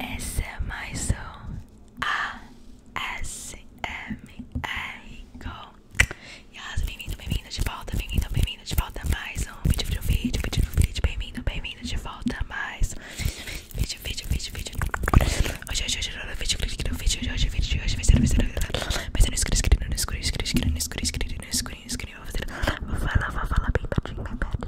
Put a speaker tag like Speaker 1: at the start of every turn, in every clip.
Speaker 1: Essa é mais um ASMR com Yas, bem-vindo, bem-vindo de volta, bem-vindo, bem-vindo de volta mais um vídeo, vídeo, vídeo, vídeo, vídeo, bem-vindo, bem-vindo de volta mais um vídeo, vídeo, vídeo, vídeo Hoje, hoje, hoje, vídeo, clique no vídeo, hoje, hoje, vídeo de hoje vai ser, vai ser, vai ser no escuro, escuro, no escuro, escuro, escuro, no escuro, escuro, no escuro, escuro Vou falar, vou falar bem pertinho, bem pertinho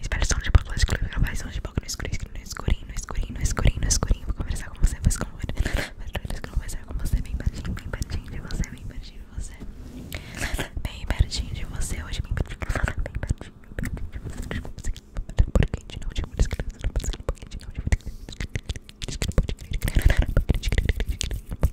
Speaker 1: Espero som de pouco no escuro, gravar som de pouco no escuro, no escuro, no escuro, no escuro, no escuro, Vou conversar com você, vou como Mas conversar com você bem pertinho, bem pertinho de você, bem pertinho de você. Bem pertinho de você hoje, bem pertinho, bem pertinho, bem pertinho de você. Porque de novo, de novo, de novo, de novo, de novo, de novo, de novo, de novo, de novo, de novo, de novo, de novo, de novo, de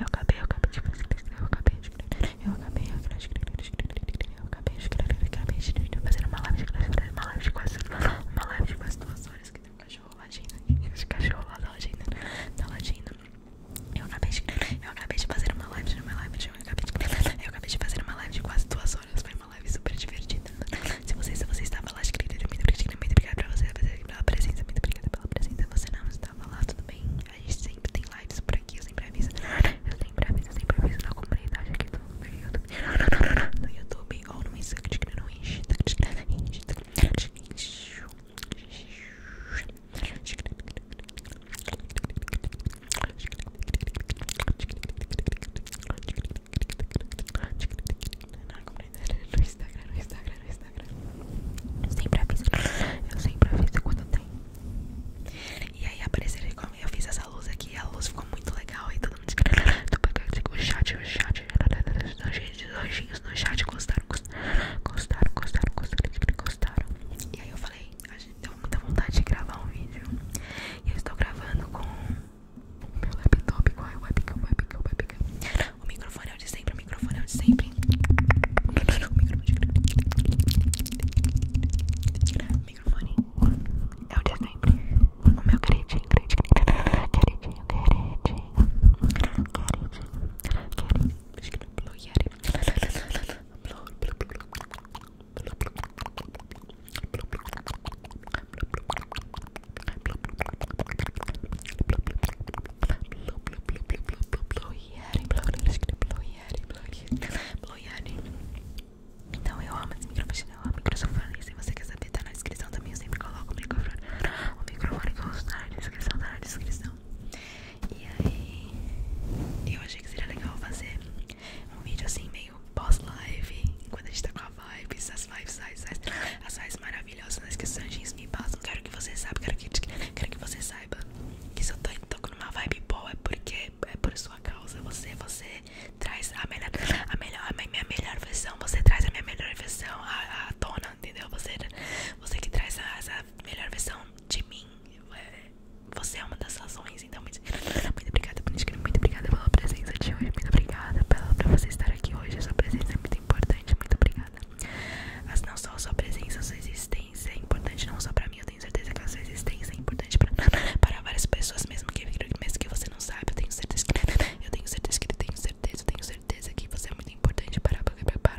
Speaker 1: Eu acabei, eu acabei de fazer uma live de quase duas horas que tem um cachorro latindo, esse cachorro lá da latindo, Eu acabei de eu acabei de fazer uma live de uma live de eu acabei de fazer uma live de quase duas horas, foi uma live super divertida. Se você se você estava lá, escreveu muito obrigado, muito para você pela presença, muito obrigada pela presença, você não está tava lá, tudo bem? A gente sempre tem lives por aqui, eu sempre aviso. Eu sempre aviso, eu sempre aviso na comunidade aqui do meu YouTube. No YouTube ou no Instagram, no Insta. Não, aprender no Instagram, no Instagram, no Instagram. Eu sempre aviso. Eu sempre aviso quando tem. E aí apareceram como eu fiz essa luz aqui. A luz ficou muito legal. E todo mundo disse que o chat, o chat. Os anjinhos no chat gostaram, gostaram, gostaram, gostaram, gostaram. E aí eu falei, a gente tem muita vontade de gravar um vídeo. E eu estou gravando com o meu laptop, com a webcam, webcam, webcam. O microfone é o de sempre, o microfone é o de sempre. O microfone é o de sempre. O meu queridinho, queridinho, queridinho, queridinho, queridinho, queridinho. Blue Yeti. Blue, blue, blue, blue. Blue, blue, blue, blue. Blue, blue, blue, blue. Então eu amo esse microfone, eu amo esse microfone. se você quiser saber, tá na descrição também. Eu sempre coloco o microfone. O microfone que eu uso tá na descrição, tá na descrição. E aí, eu achei que seria legal fazer um vídeo assim, meio pós-live. enquanto a gente tá com a vibe, essas vibes, as vibes, as vibes maravilhosas maravilhosa. nas questões, anjinhos me passam. Quero que você saiba, quero que, você saiba que se eu tô, tô uma vibe boa é porque é por sua causa. Você, você traz a melhor, a melhor, a minha melhor versão. Você traz a minha melhor versão, a, a tona, entendeu? Você, você que traz a, melhor versão de mim. É, você é uma das razões, então muito, muito obrigada por muito obrigada pela presença de hoje, muito obrigada pela, por você estar aqui hoje. A sua presença é muito importante, muito obrigada. Mas não só a sua presença, a sua existência é importante não só pra mim, eu tenho certeza que a sua existência é importante pra, para várias pessoas, mesmo que, mesmo que você não saiba, eu tenho certeza que eu tenho certeza que eu tenho certeza, eu tenho certeza que você é muito importante para, para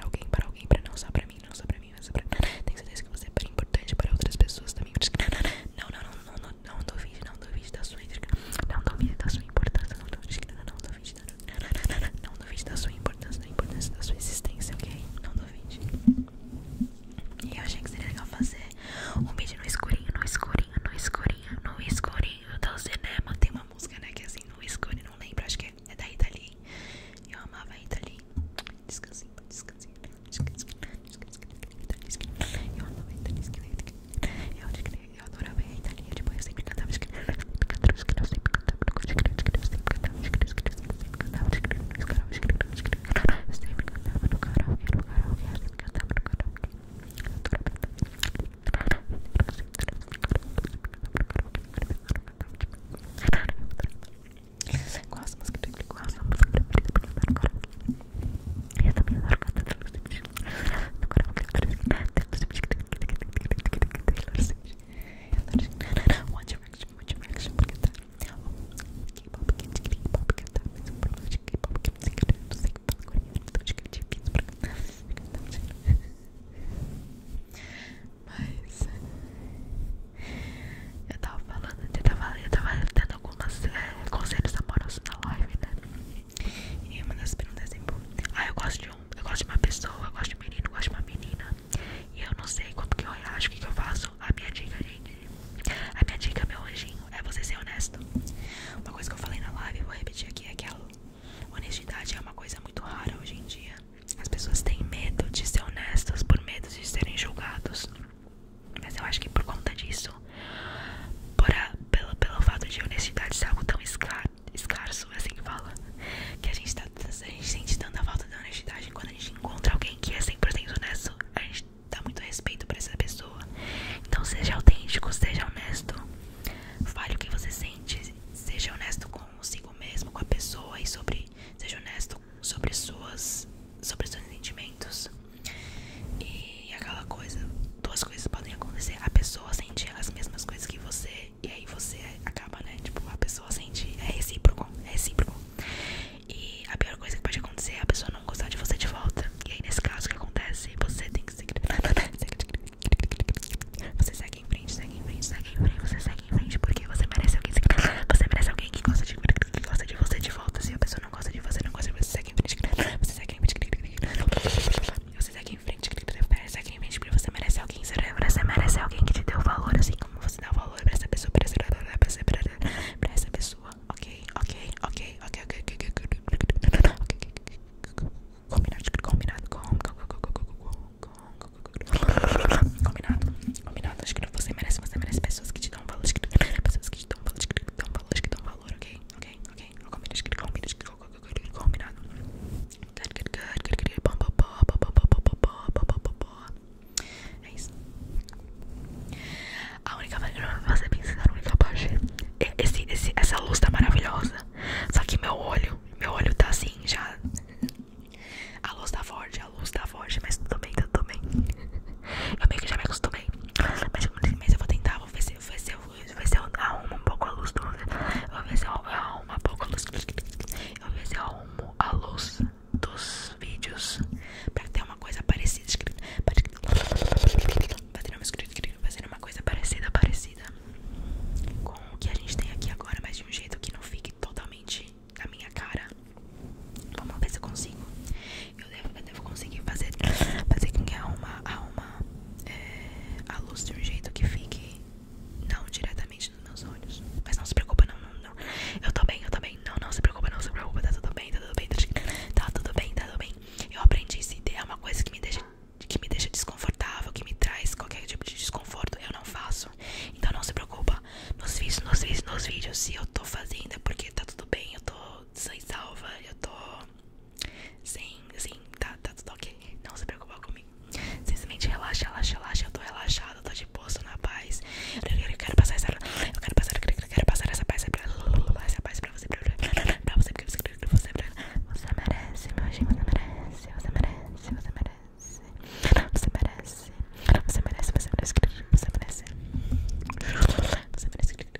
Speaker 1: alguém, para alguém, para não só pra mim, não só pra mim, não só pra tenho certeza que você é importante para outras pessoas também. Não, não, não, não, não, não duvide, não duvide não sua, não duvide da sua importância, não duvide, não duvide, não duvide da sua importância, da importância da sua existência, ok? Não duvide. E eu achei que seria legal fazer um vídeo no escurinho, no escurinho, no escurinho, no escurinho do cinema. Tem uma música, né? Que é assim, no escurinho, não lembro, acho que é, é da Itália Eu amava a Rita Descansinho, descansinho, descansinho, descansinho, descansinho, descansinho, descansinho, descansinho, descansinho, descansinho, descansinho, descansinho, descansinho, descansinho, descansinho, descansinho, descansinho, descansinho, eu adorava a Rita Tipo, eu sempre cantava, eu sempre cantava, eu sempre cantava, eu sempre cantava, eu sempre cantava, eu sempre cantava, eu sempre cantava no karaokê, no karaokê, eu sempre cantava no karaokê. Qual as músicas que Qual as músicas que eu também adoro cantar no karaokê. One Direction, One Direction, porque tá. K-pop, K-pop, porque tá. Mas o problema de K-pop que eu não sei cantar, não sei falar coreano, então acho que é difícil pra cantar. Mas. Eu tava falando, eu tava, eu tava dando alguns é, eh, conselhos amorosos na live, né? E uma das perguntas é assim, ah, eu gosto de um eu gosto de uma pessoa, eu gosto de um menino, eu gosto de uma menina. E eu não sei como que eu reajo, o que, eu faço. A minha dica, gente. A minha dica, meu anjinho, é você ser honesto. Uma coisa que eu falei na live, vou repetir aqui, é que a honestidade é uma coisa muito rara hoje em dia. As pessoas têm medo de ser honestas por medo de serem julgados. Mas eu acho que por conta disso, por pelo, pelo fato de honestidade ser algo tão escra, escasso, é assim que fala. Que a gente tá. A gente sente tanta falta da honestidade quando a gente encontra alguém que é 100% honesto. A gente dá muito respeito pra essa pessoa. Então seja autêntico, seja honesto. Fale o que você sente. Seja honesto consigo mesmo, com a pessoa e sobre. Seja honesto sobre suas. Sobre seus sentimentos. E e aquela coisa, duas coisas podem acontecer. A pessoa sente as mesmas coisas que você, e aí você acaba, né? Tipo, a pessoa sente. É recíproco, é recíproco. E a pior coisa que pode acontecer é a pessoa não gostar de você de volta. E aí, nesse caso, o que acontece? Você tem que seguir. Você segue em frente, segue em frente, segue em frente. Você segue em frente porque você merece alguém. Você merece alguém que gosta de, que gosta de você de volta. Se a pessoa não gosta de você, não gosta de você, segue em frente. Você segue em frente vocês aqui em frente, que você merece alguém, você merece alguém que te deu valor, assim como você dá valor pra essa pessoa, pra essa, pra essa pessoa, ok? Ok, ok, ok, ok, ok, ok, combinado, combinado, combinado, combinado, acho que você merece, você merece pessoas que te dão valor, pessoas que te dão valor, que te dão valor, que te dão valor, ok? Ok, ok, combinado, combinado, combinado. É isso. A única fazer você pensa a única parte. É esse, esse, essa luz tá maravilhosa. Só que meu olho, meu olho tá assim, já. A luz da tá forge, a luz da tá forge, mas tudo bem, tudo bem. Eu meio que já me acostumei. Mas, mas eu vou tentar, vou ver se, ver se eu isso, ver se um pouco a luz do... vou ver se pouco a luz vou ver se a luz dos vídeos Pra ter uma coisa parecida Pra ter uma coisa parecida, parecida Com o que a gente tem aqui agora Mas de um jeito que não fique totalmente na minha cara Vamos ver se eu consigo Eu devo, conseguir fazer Fazer com que arruma, arruma é, a luz de um jeito que fique não diretamente nos meus olhos. Mas não se preocupa, não, não, Eu tô bem, eu tô bem. Não, não se preocupa, não se preocupa. Tá tudo bem, tá tudo bem, tá tudo bem, tá tudo bem. Tá eu aprendi se é uma coisa que me deixa que me deixa desconfortável, que me traz qualquer tipo de desconforto, eu não faço. Então não se preocupa. Nos vídeos, nos vídeos, nos vídeos, se eu tô fazendo é porque tá tudo bem, eu tô sem salva, eu tô Sim, sim, tá, tá tudo ok. Não se preocupa comigo. Simplesmente relaxa, relaxa, relaxa. Eu tô relaxado, tô de posto na paz. Eu quero passar essa. Eu quero passar, eu quero, passar essa paz. Essa paz pra você, pra, você, porque você, pra você, pra você merece, Você merece, você merece, você merece. Você merece, você merece, você merece, você merece. Você merece. Você merece.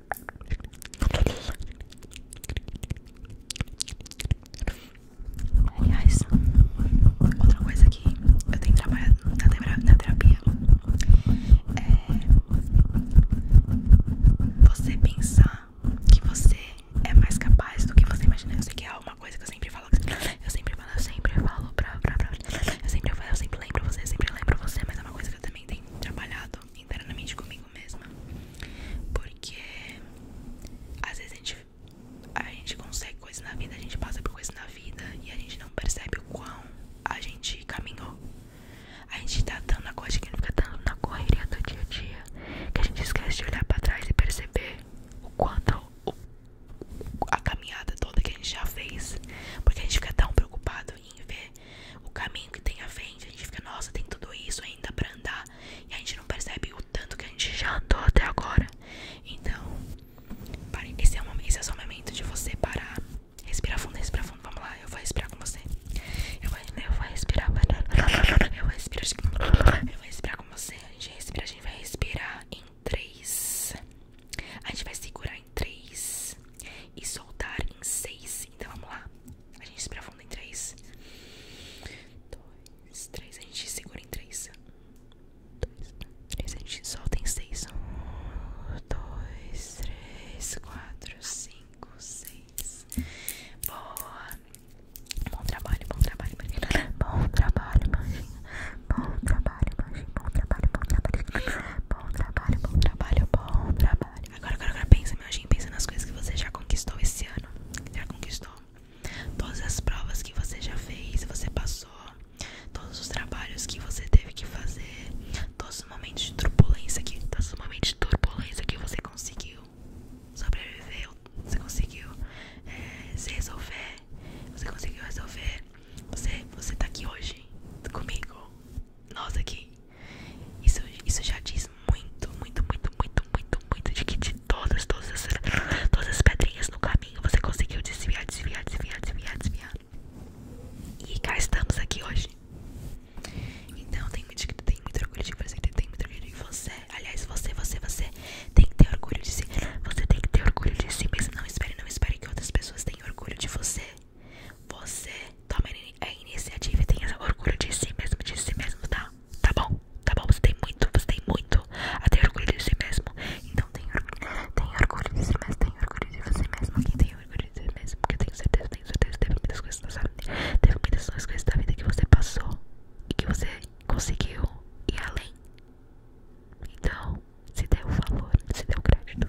Speaker 1: Aliás, outra coisa que eu tenho trabalhado na, terapia é você pensar que você é mais capaz do que você imagina. Eu sei que é uma coisa que eu sempre falo, eu sempre falo, eu sempre falo pra, pra, pra, eu sempre falo, eu sempre lembro você, eu sempre lembro você, mas é uma coisa que eu também tenho trabalhado internamente comigo mesma. Porque às vezes a gente, consegue coisas na vida, a gente passa por coisas na vida e a gente não percebe o quão a gente caminhou. A gente tá tão na que a fica dando na correria do dia a dia que a gente esquece de olhar pra trás e perceber o quanto a caminhada toda que a gente já fez. Porque a gente fica tão preocupado e ver o caminho que tem à frente. A gente fica, nossa, tem tudo isso ainda pra andar. E a gente não percebe o tanto que a gente já andou até agora. Então, é Esse é, só o momento de você parar. Respira fundo, respira fundo. Vamos lá, eu vou respirar com você. Eu vou, eu vou respirar. Eu vou respirar. Eu vou respirar com você. A gente respira, a gente vai respirar em 3. A gente vai segurar em 3 e soltar em 6. Então vamos lá. A gente se fundo em três dois três A gente segura em três dois três A gente solta em seis um dois três quatro cinco seis Boa. Bom trabalho, bom trabalho, Marina. Bom trabalho, Marina. Bom trabalho, Marina. Bom trabalho, bom trabalho. Bom trabalho, bom trabalho, bom trabalho. Agora, agora, agora pensa, imagina, pensa nas coisas que você já conquistou esse ano. Já conquistou todas as provas que você já fez, você passou, todos os trabalhos que você teve que fazer, todos os momentos de turbulência que, todos os momentos de turbulência que você conseguiu sobreviver, você conseguiu é, se resolver, você conseguiu resolver. Você, você tá aqui hoje comigo, nós aqui. Isso, isso já diz muito, muito, muito, muito, muito, muito de que de todas, todas, as, todas as pedrinhas no caminho você conseguiu desviar, desviar, desviar, desviar, desviar. E cá estamos aqui hoje. Então tem muito, tem muito orgulho de você, tem muito orgulho de você. Aliás, você, você, você tem que ter orgulho de si. Você tem que ter orgulho de si mesmo. Não espere, não espere que outras pessoas tenham orgulho de você. Você toma a iniciativa e tem essa orgulho de si mesmo, de si mesmo, tá? Tá bom, tá bom, você tem muito, você tem muito a ter orgulho de si mesmo. Então tem orgulho, tem orgulho de si mesmo, tem orgulho de você mesmo. Quem tem orgulho de si mesmo, porque eu tenho certeza, tenho certeza, teve muitas coisas da vida, teve muitas coisas da vida que você passou e que você conseguiu ir além. Então, se deu valor, se deu crédito.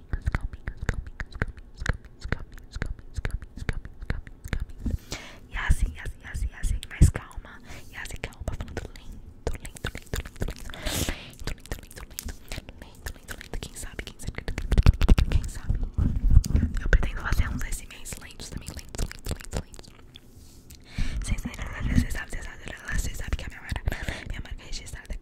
Speaker 1: caminhos, caminhos, caminhos, caminhos, caminhos, caminhos, caminhos, caminhos, caminhos, caminhos, caminhos. E assim, assim, assim, assim, mais calma. E assim, calma, falando lento, lento, lento, lento, lento, lento, lento, lento, lento, lento, lento, lento. Quem sabe, quem sabe, quem sabe. Eu pretendo fazer uns SMRs lentos também, lentos, lentos, lentos, lentos. Vocês sabem, vocês sabem, vocês sabem que a minha marca, minha marca é registrada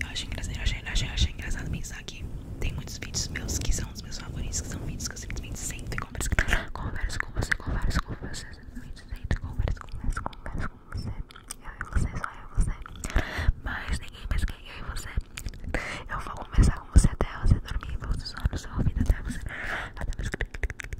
Speaker 1: Eu acho engraçado, eu achei, eu achei, eu achei engraçado pensar que tem muitos vídeos meus que são os meus favoritos, que são vídeos que eu simplesmente sempre converso, converso com você, converso com você, converso, com você. Eu e você, só eu e você. Mas ninguém mais que eu e você. Eu vou conversar com você até você dormir, vou sussurrar no seu ouvido até você. Até você.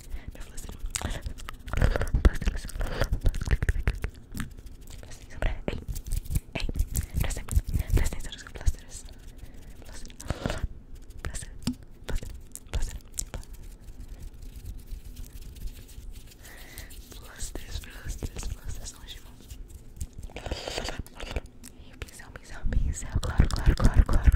Speaker 1: Minha florzinha. Ei, ei, presta atenção nos plásticos. Plásticos, plásticos, plásticos são gigantes. E o pincel, pincel, pincel, claro, claro, claro, claro.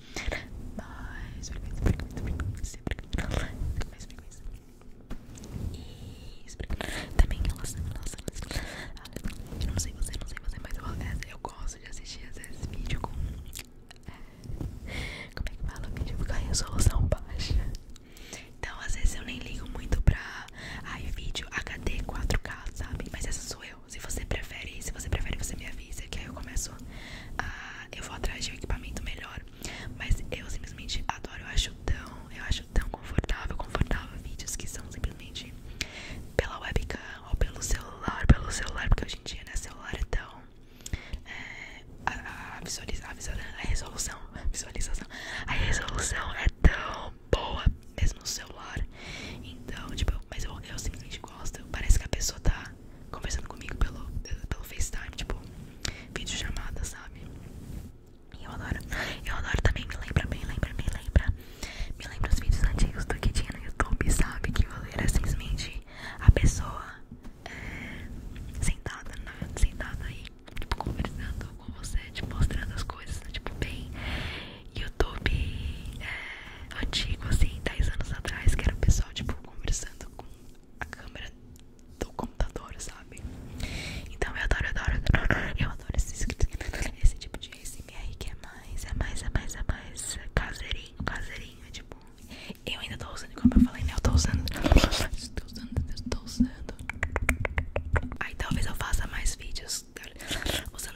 Speaker 1: mais frequência, frequência, frequência, frequência, mais frequência. Isso, também elas, elas, elas, eu não sei você, não sei você, mas eu, é, eu gosto de assistir às vezes vídeo com, é, como é que fala, vídeo com a resolução baixa. Então às vezes eu nem ligo muito pra, ai, vídeo HD 4K, sabe, mas essa sou eu. Se você prefere, se você prefere, você me avisa que aí eu começo a eu vou atrás de um equipamento melhor. Mas eu simplesmente adoro, eu acho tão, eu acho tão confortável, confortável vídeos que são simplesmente pela webcam ou pelo celular, pelo celular, porque hoje em dia, né, celular é tão é, a, visualização a, resolução, a visualização, a resolução é tão boa mesmo no celular. Então, tipo, mas eu, eu simplesmente gosto. Parece que a pessoa tá conversando comigo pelo, pelo FaceTime, tipo, vídeo chamada, sabe? eu adoro, eu adoro também, me lembra, me lembra, me lembra Me lembra os vídeos antigos do que tinha no YouTube, sabe? Que era simplesmente a pessoa é, sentada, né? sentada aí, tipo, conversando com você, tipo, mostrando as coisas, tipo, bem YouTube, é, antigo, assim, 10 anos atrás, que era o pessoal, tipo, conversando com a câmera do computador, sabe? Então eu adoro, adoro, adoro. Eu adoro esse, tipo de ASMR que é mais, é mais, é mais, é mais caseirinho, caseirinho, tipo. Eu ainda tô usando, como eu falei, né? Eu tô usando. tô usando, tô usando. Aí talvez eu faça mais vídeos usando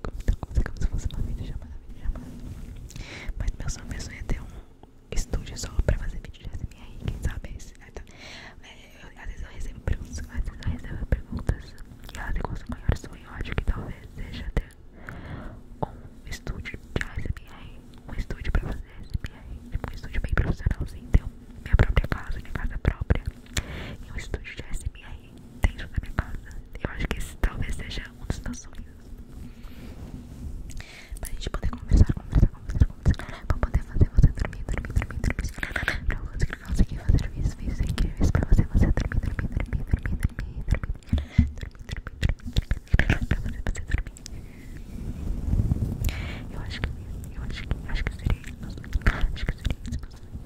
Speaker 1: como se fosse uma videochamada, videochamada. Mas meu sonho, é ter um estúdio só pra fazer vídeo de SMR, quem sabe? Esse, às vezes eu recebo perguntas, às vezes eu recebo perguntas e elas igual o maior sonho, eu acho que talvez seja ter um estúdio de SMR, um estúdio pra fazer SMR, tipo um estúdio bem profissionalzinho, ter minha própria casa, minha casa própria e um estúdio de SMR dentro da minha casa. Eu acho que esse talvez seja um dos meus sonhos. Pra gente poder conversar, conversar, conversar, conversar. Pra poder fazer você dormir, dormir, dormir, dormir. Pra você conseguir fazer vídeos, vídeos incríveis. você, você dormir, dormir, dormir, dormir, dormir, dormir. Dormir, dormir, dormir, dormir. você, você dormir. Eu acho que, eu acho que, acho que seria Acho que seria isso.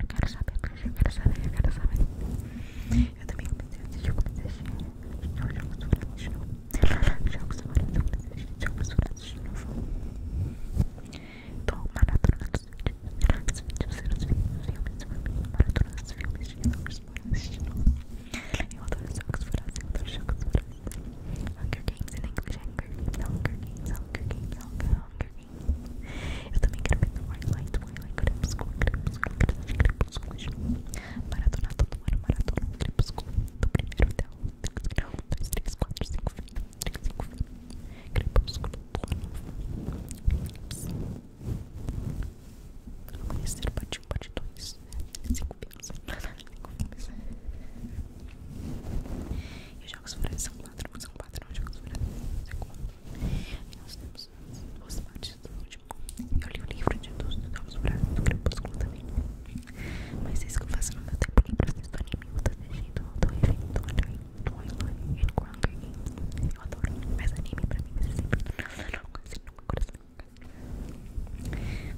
Speaker 1: Eu quero saber, eu quero saber, eu quero saber. Eu também comecei a assistir, comecei a assistir jogos dourados de novo. Jogos dourados, eu comecei a assistir jogos dourados de novo. Tô maratona dos vídeos, vídeos, vídeos, filmes, filmes, maratona dos filmes de jogos dourados de novo. Eu adoro jogos dourados, eu adoro jogos dourados. Hunger Games in English, Hunger Games, Hunger Games, Hunger Games, Hunger eu também quero ver Twilight, Twilight, Crepúsculo, Crepúsculo, Crepúsculo, Maratona, todo ano, Maratona, Crepúsculo, do primeiro até o 1, 2, 3, 4, 5, 5, 5, Crepúsculo, Amanhecer, parte 1, parte 2, 5 filmes, 5 filmes. Eu jogos vorazes são quatro, são quatro jogos vorazes, segundo. E nós temos duas partes do último. Eu li o livro de todos os jogos vorazes do Crepúsculo também. Mas isso que eu faço no meu tempo porque eu livre, assisto anime, eu assisti do Doive, Twilight, Twilight, and Hunger Games. Eu adoro, mas anime pra mim é sempre não consigo, não consigo.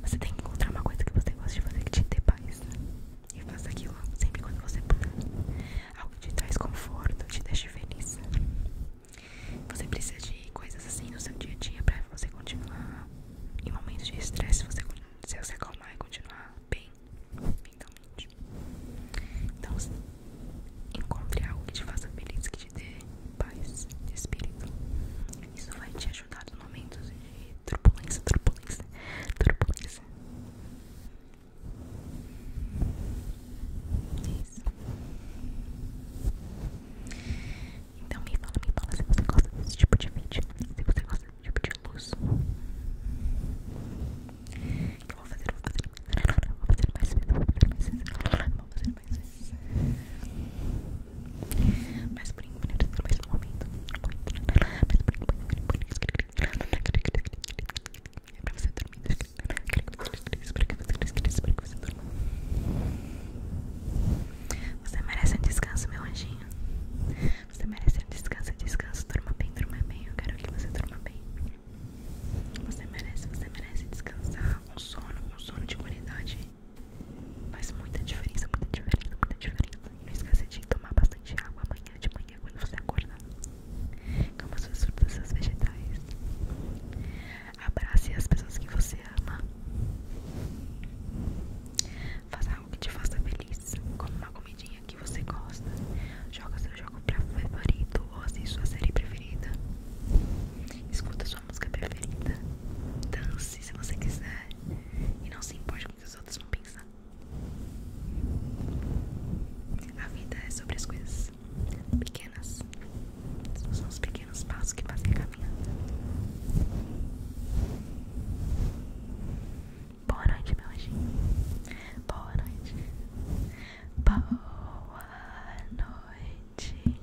Speaker 1: Você tem que encontrar uma coisa que você gosta de fazer que te dê paz. E faça aquilo sempre quando você puder. Algo te traz conforto, te deixa feliz. Você precisa de coisas assim no seu dia a dia pra você continuar. Em momentos de estresse, você, se você acalmar e continuar bem mentalmente. Então, encontre algo que te faça feliz, que te dê paz de espírito. Isso vai te ajudar nos momentos de turbulência, turbulência, turbulência, então me fala, me fala se você gosta desse tipo de vídeo. Se você gosta de tipo de luz. Eu vou fazer, vou fazer. Vou fazer mais vezes, vou fazer mais vezes. Vou fazer mais vezes você merece um descanso, meu anjinho. Você merece um descanso, descanso. Durma bem, durma bem. Eu quero que você durma bem. Você merece, você merece descansar. Um sono, um sono de qualidade. Faz muita diferença, muita diferença, muita diferença. Não esqueça de tomar bastante água amanhã de manhã quando você acordar. Coma suas frutas e seus vegetais. Abrace as pessoas que você ama. Faça algo que te faça feliz. Coma uma comidinha que você gosta. Joga seu jogo preferido ou assista sua série preferida. Escuta sua música preferida. Dance se você quiser. E não se importe com o que os outros não pensam a vida é sobre as coisas pequenas. São os pequenos passos que fazem a caminhada. Boa noite, meu anjinho. Boa noite. Boa noite.